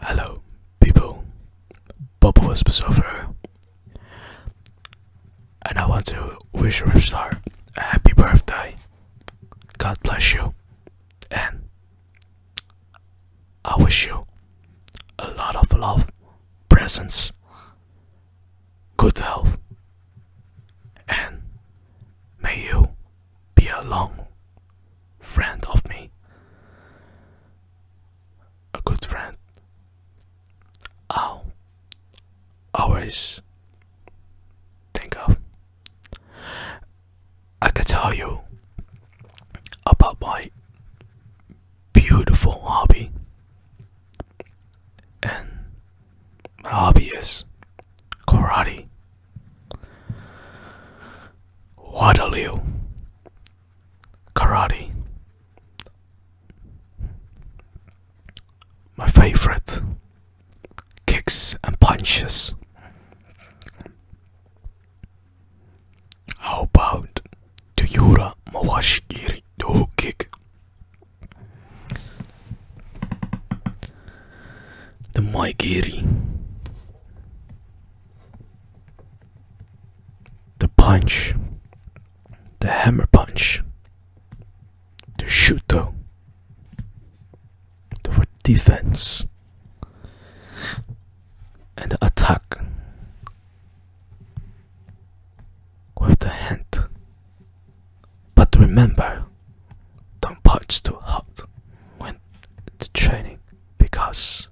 Hello, people. Bubble Wisp is over. And I want to wish Ripstar a happy birthday. God bless you. And I wish you a lot of love, presence, good health, and may you be a long friend of me, a good friend. I'll always think of. I can tell you about my beautiful hobby, and my hobby is karate. Waterloo Karate My favorite kicks and punches. How about the Toyura Mawashigiri do kick the Mike The punch. The hammer punch. The shooter. The defense. And the attack. With the hand. But remember, don't punch too hard when the training because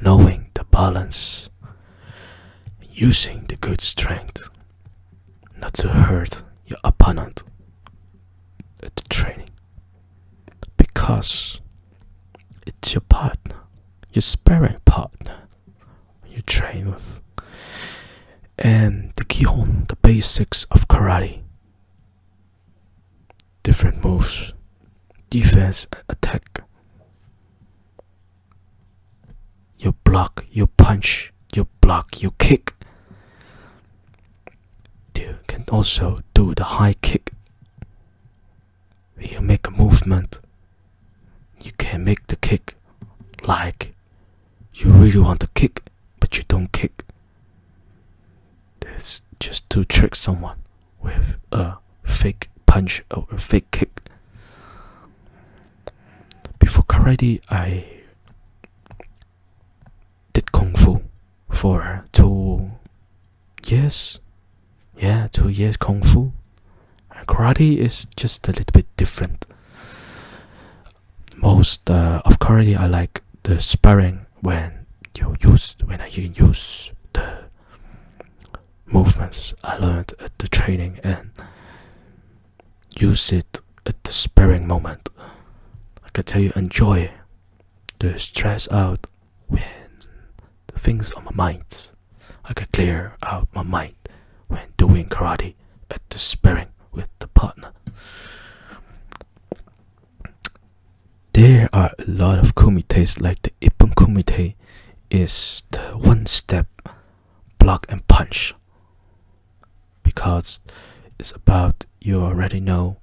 knowing the balance, using the good strength, not to hurt your opponent at the training because it's your partner, your sparring partner, you train with. And the kihon, the basics of karate. Different moves, defense attack. You block, you punch, you block, you kick. You can also do the high kick. You make a movement you can make the kick like you really want to kick, but you don't kick. It's just to trick someone with a fake punch or a fake kick. Before karate, I did kung fu for two years. Yeah, two years kung fu karate is just a little bit different most uh, of karate i like the sparring when you use when i use the movements i learned at the training and use it at the sparring moment i can tell you enjoy the stress out when the things on my mind I can clear out my mind when doing karate at uh, the sparring with the partner. There are a lot of kumi tastes like the Ippon kumite is the one step block and punch because it's about you already know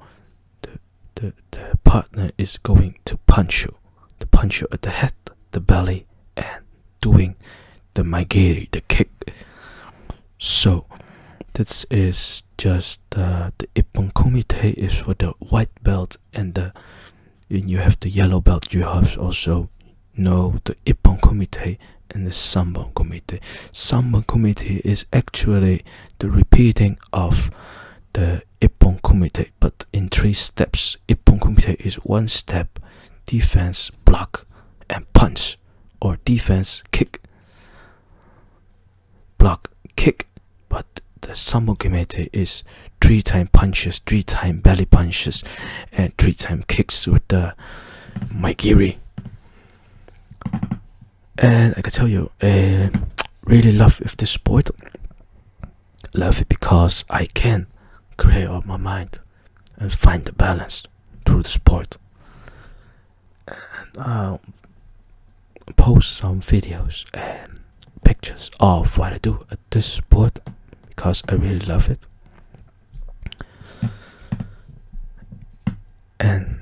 the, the, the partner is going to punch you to punch you at the head the belly and doing the maigiri, the kick. So this is just uh, the ippon kumite is for the white belt and the you have the yellow belt. You have also know the ippon kumite and the sambon kumite. Sambon kumite is actually the repeating of the Ippon Kumite, but in three steps. Ippon Kumite is one step defense, block, and punch, or defense, kick, block, kick. But the sambo Samogimete is three time punches, three time belly punches, and three time kicks with the Maigiri. And I can tell you, I eh, really love if this sport Love it because I can create up my mind and find the balance through the sport. And I'll post some videos and pictures of what I do at this sport because I really love it. And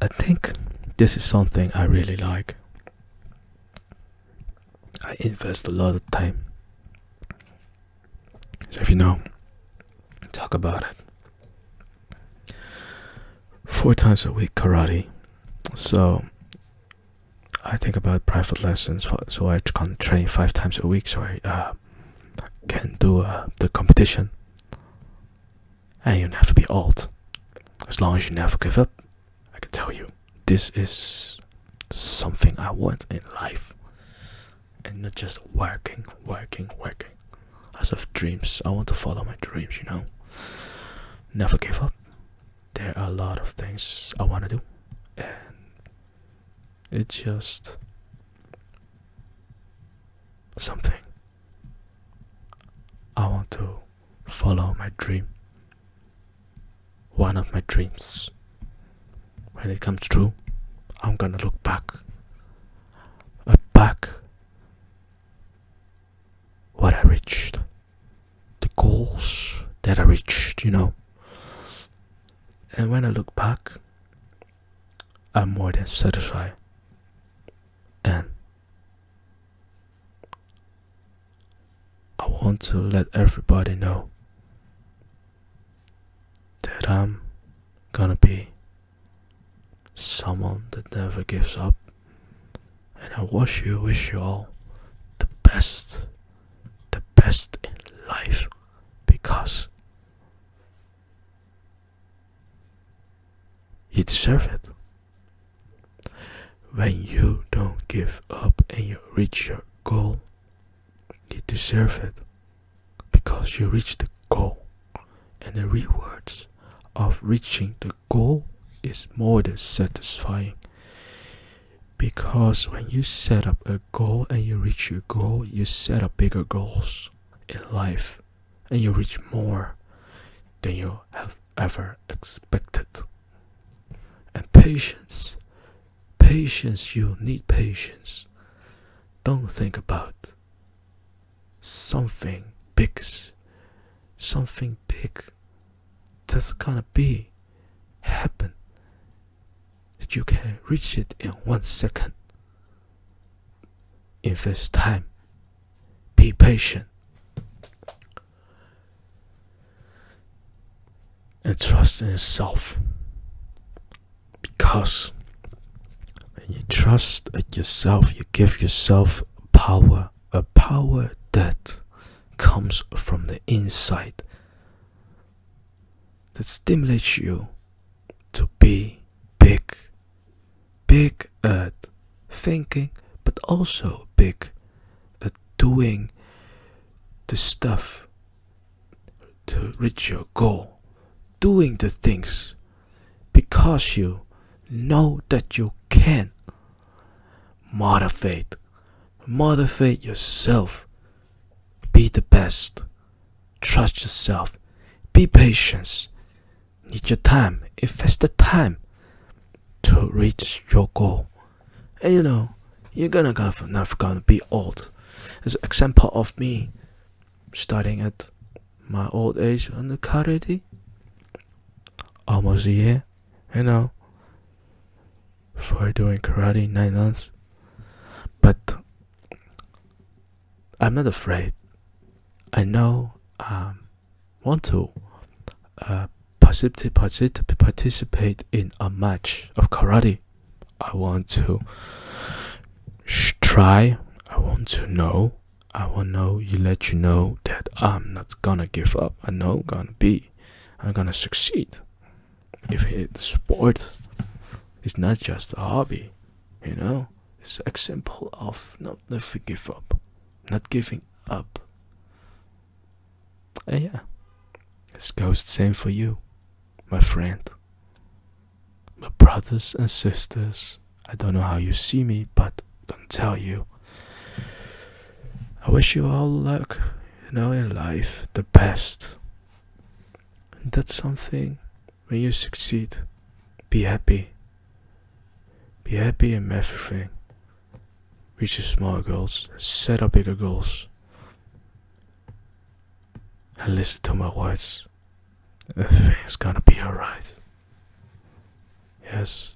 I think this is something I really like. I invest a lot of time. So if you know, talk about it. Four times a week karate. So I think about private lessons, so I can train five times a week, so I uh, can do uh, the competition. And you have to be old, as long as you never give up. I can tell you, this is something I want in life, and not just working, working, working. As of dreams. I want to follow my dreams. You know, never give up. There are a lot of things I want to do, and it's just something I want to follow my dream one of my dreams when it comes true i'm gonna look back uh, back what i reached the goals that i reached you know and when i look back i'm more than satisfied and I want to let everybody know that I'm gonna be someone that never gives up. And I wish you, wish you all the best, the best in life because you deserve it. When you don't give up and you reach your goal, you deserve it because you reach the goal, and the rewards of reaching the goal is more than satisfying. Because when you set up a goal and you reach your goal, you set up bigger goals in life and you reach more than you have ever expected. And patience, patience, you need patience. Don't think about something big, something big that's gonna be happen that you can reach it in one second. If it's time, be patient and trust in yourself because when you trust in yourself, you give yourself power a power that comes from the inside that stimulates you to be big big at thinking, but also big at doing the stuff to reach your goal, doing the things because you know that you can. Motivate, motivate yourself, be the best, trust yourself, be patient, Need your time. Invest the time to reach your goal. And you know, you're gonna go for, never gonna be old. As example of me starting at my old age on karate, almost a year, you know, for doing karate nine months. But I'm not afraid. I know I um, want to uh, participate, participate in a match of karate. I want to try. I want to know. I want know you let you know that I'm not gonna give up. I know I'm gonna be. I'm gonna succeed. If it's sport it's not just a hobby, you know, it's an example of not never give up, not giving up. And yeah, it's goes the same for you, my friend. My brothers and sisters, I don't know how you see me, but I can tell you. I wish you all luck, you know, in life, the best. that's something when you succeed, be happy. Be happy in everything. Reach your small goals, set up bigger goals. And listen to my words. Everything's gonna be alright. Yes.